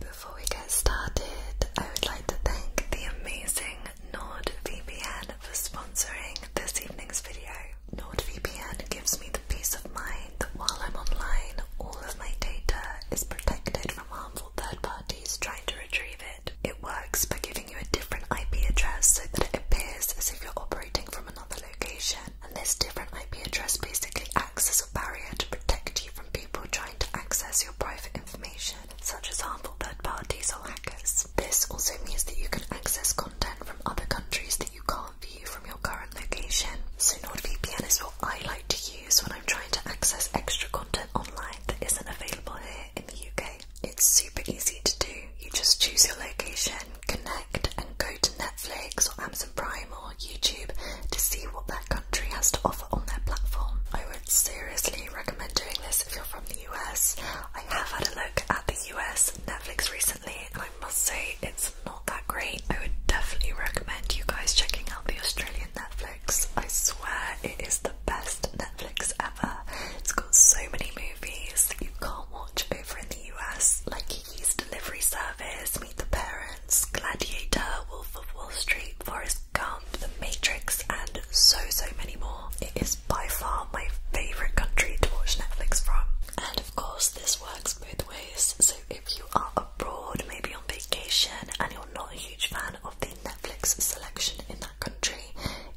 Before we get started, I would like to thank the amazing NordVPN for sponsoring this evening's video. NordVPN gives me the peace of mind that while I'm online, all of my data is protected from harmful third parties trying to retrieve it. It works by giving you a different IP address so that it appears as if you're operating from another location, and this different IP address basically acts as a barrier to protect you from people trying to access your private information, such as harmful third parties or hackers. This also means that you can access content from other countries that you can't view from your current location. So NordVPN is what I like to use when I'm trying to access extra content online that isn't available here in the UK. It's super easy to do. You just choose your location, connect and go to Netflix or Amazon Prime or YouTube to see what their country has to offer on their platform. I would seriously recommend doing this if you're from the US. I have had a look at the US Netflix recently and I must say it's not that great. I would definitely recommend you guys checking out the Australian Netflix. I swear it is the best Netflix ever. It's got so many movies that you can't watch over in the US like Kiki's Delivery Service, Meet the Parents, Gladiator, Wolf of Wall Street, Forrest Gump, The Matrix, and so, so many more. It is by far my favourite country to watch Netflix from. And of course, this works both ways, so if you are abroad, maybe on vacation, and you're not a huge fan of the Netflix selection in that country,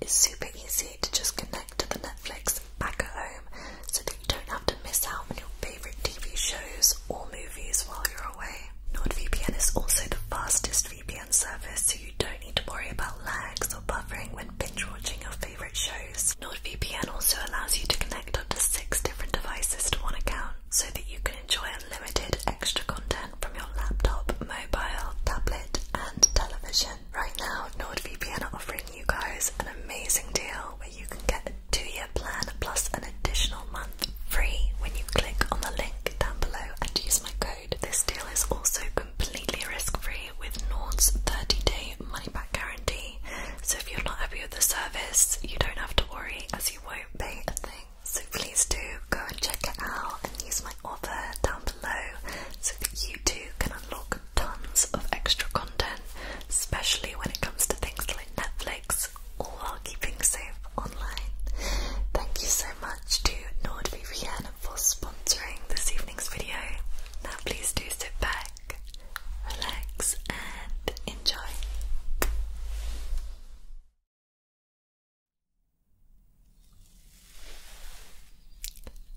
it's super easy to just connect to the Netflix back home so that you don't have to miss out on your favourite TV shows or movies while you're away. NordVPN is also the fastest VPN service, so you don't need to worry about lags or buffering when binge watching your favourite shows. NordVPN also allows you to connect up to six different devices to one account so that you can enjoy unlimited extra content from your laptop, mobile, tablet, and television. Right now, NordVPN are offering you guys an amazing deal where you can get a two-year plan plus an additional month free when you click on the link down below and use my code. This deal is also completely risk-free with Nord's 30-day money-back guarantee. So if you're not happy with the service, you don't have to worry as you won't pay a thing. So please do go and check it out and use my offer down below so that you too can unlock tons of extra content, especially when it comes to things like. Netflix, while keeping safe online. Thank you so much to NordVPN for sponsoring this evening's video. Now please do sit back, relax and enjoy.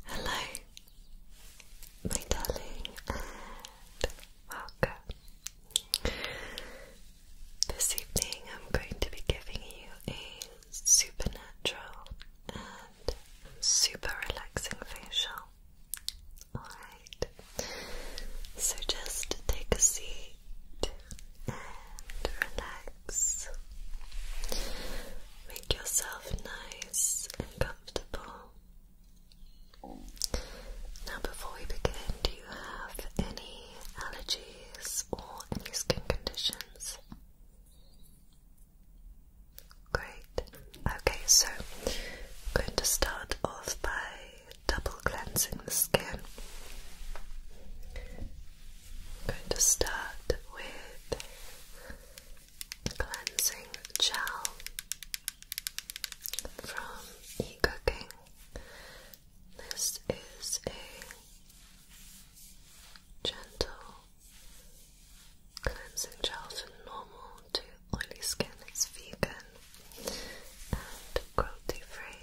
Hello, my darling, welcome. This evening I'm going to be giving you a supernatural and super relaxing facial. Alright, so just take a seat and relax. Make yourself nice and comfortable. Now, before we begin, do you have any allergies or any skin conditions? Great. Okay, so I'm going to start off by double cleansing the skin. I'm going to start with cleansing gel from Cooking. This is a gentle cleansing gel for normal to oily skin. It's vegan and cruelty free.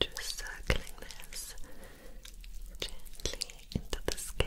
Just circling this gently into the skin.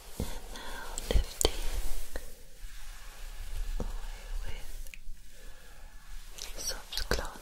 And now lifting away with soft cloth.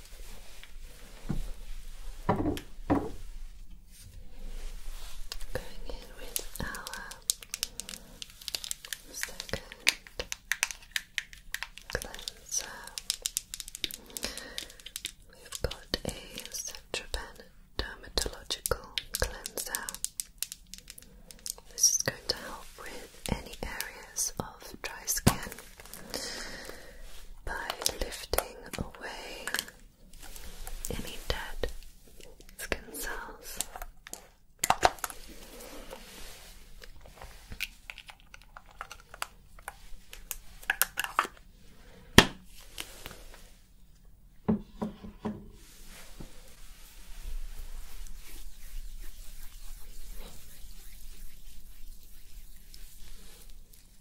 Going in with our second cleanser. We've got a Centropen dermatological cleanser. This is going to help with any areas of dry skin by lifting away any dead skin cells.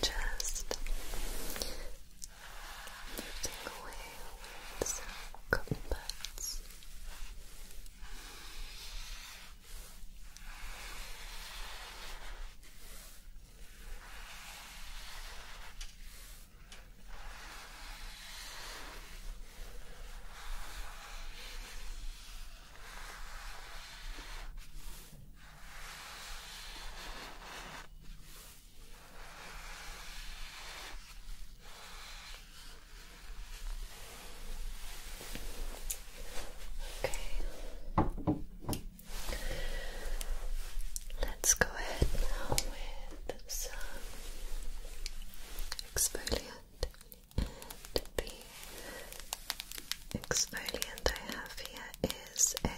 just lifting away with some cotton Okay. Let's go ahead now with some exfoliant. And the exfoliant I have here is a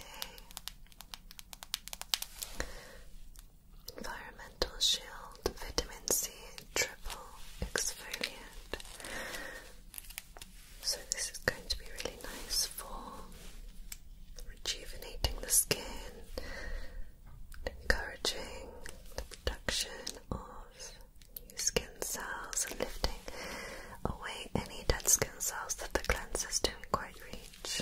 Environmental Shield Vitamin C Triple Exfoliant. So, this is going to be really nice for rejuvenating the skin, encouraging the production of new skin cells and lifting away any dead skin cells that the cleansers don't quite reach.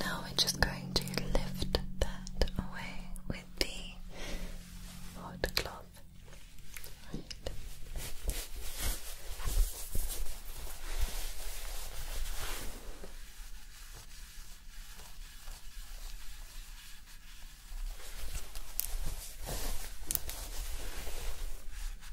Now we're just going to lift that away with the hot cloth. Right.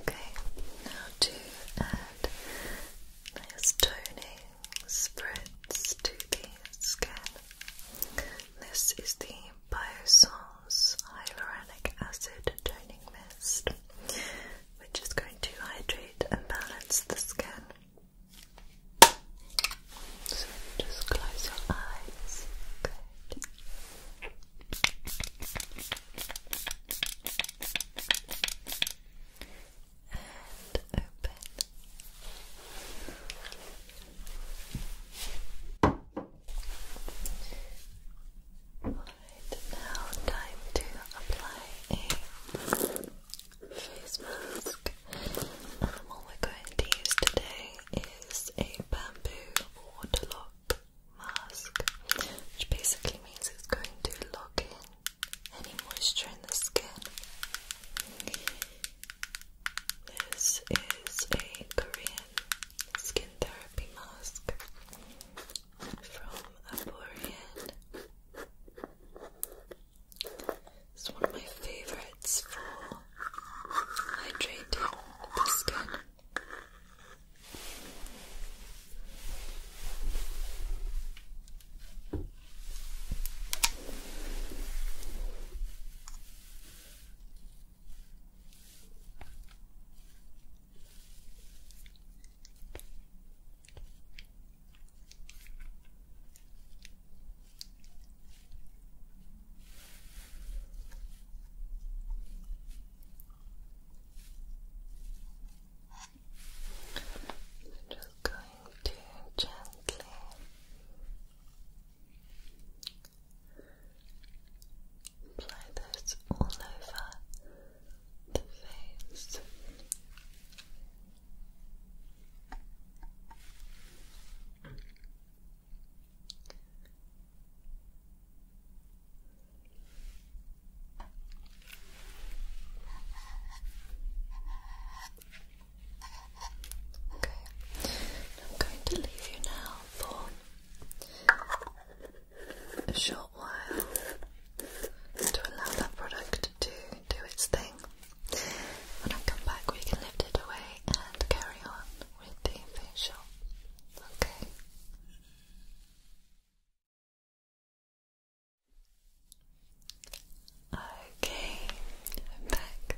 Okay, now to add this toning spritz to the skin. This is the Biosol's hyaluronic acid toning mist, which is going to hydrate and balance the skin. So just close your eyes. Good. And open. Alright, now time to apply a face mask. And we're going to use today is a bamboo water lock mask, which basically means it's going to lock in any moisture in the skin. This is a Korean skin therapy mask from Aborian. It's one of my favorites for hydrating the skin. I'm just going to gently Apply this all over the face. Okay, I'm going to leave you now for a short while to allow that product to do its thing. When I come back, we can lift it away and carry on with the facial. Okay. Okay, I'm back.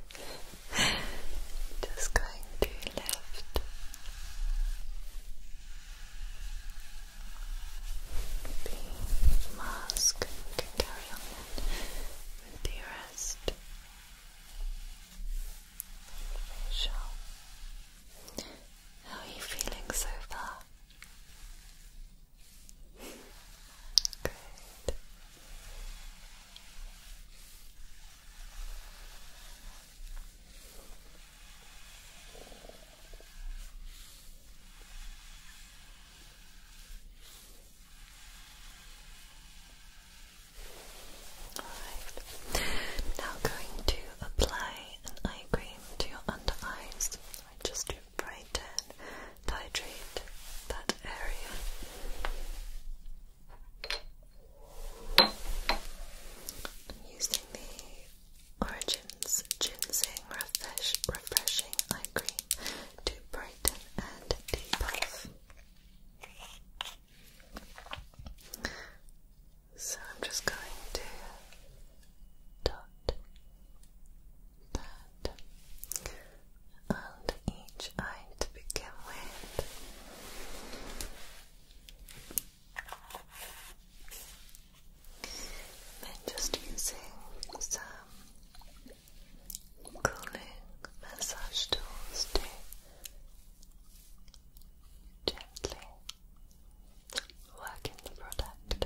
Just going to left. The mask carry on it rest. Facial. How are you feeling so far? Good. Alright, now going to apply an eye cream to your under eyes. I just look titrate that area. using the Origins Ginseng Refresh Refreshing Eye Cream to brighten and debuff. So I'm just going to dot that and each eye to begin with then just using some cooling massage tools to gently work in the product.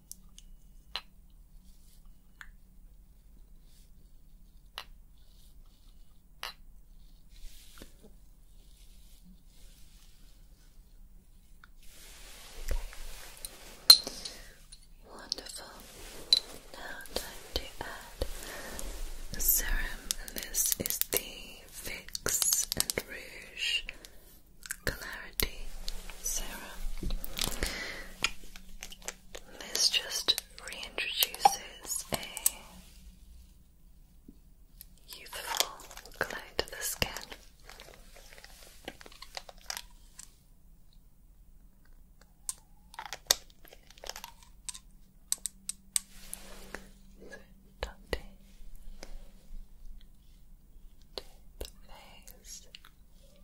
Wonderful. Now time to add serum and this is the Fix and Rouge Clarifying Sarah. This just reintroduces a youthful glow to the skin. So, touching and working that in.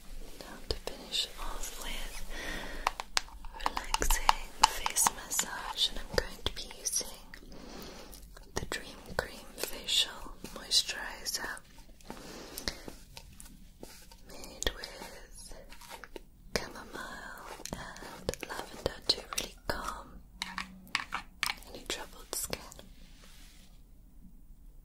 to finish off with relaxing face massage and I'm going to be using the Dream Cream Facial Moisturizer made with chamomile and lavender to really calm any troubled skin.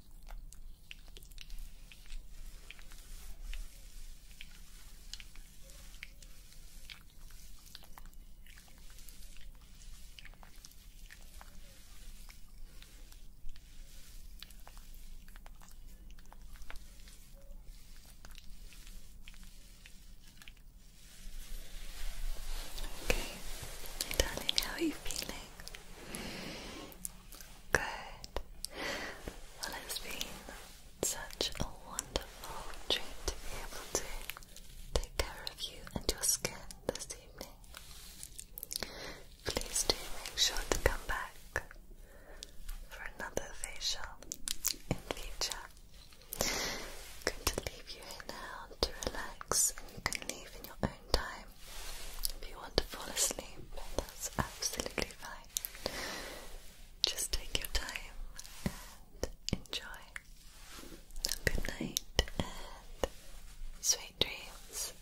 Okay, darling, how are you feeling? Good. Well, it's been such a wonderful treat to be able to take care of you and your skin this evening. Please do make sure to come back for another facial in future. going to leave you now to relax, and you can leave in your own time if you want to fall asleep, that's absolutely fine. Just take your time and enjoy. good night and sweet dreams.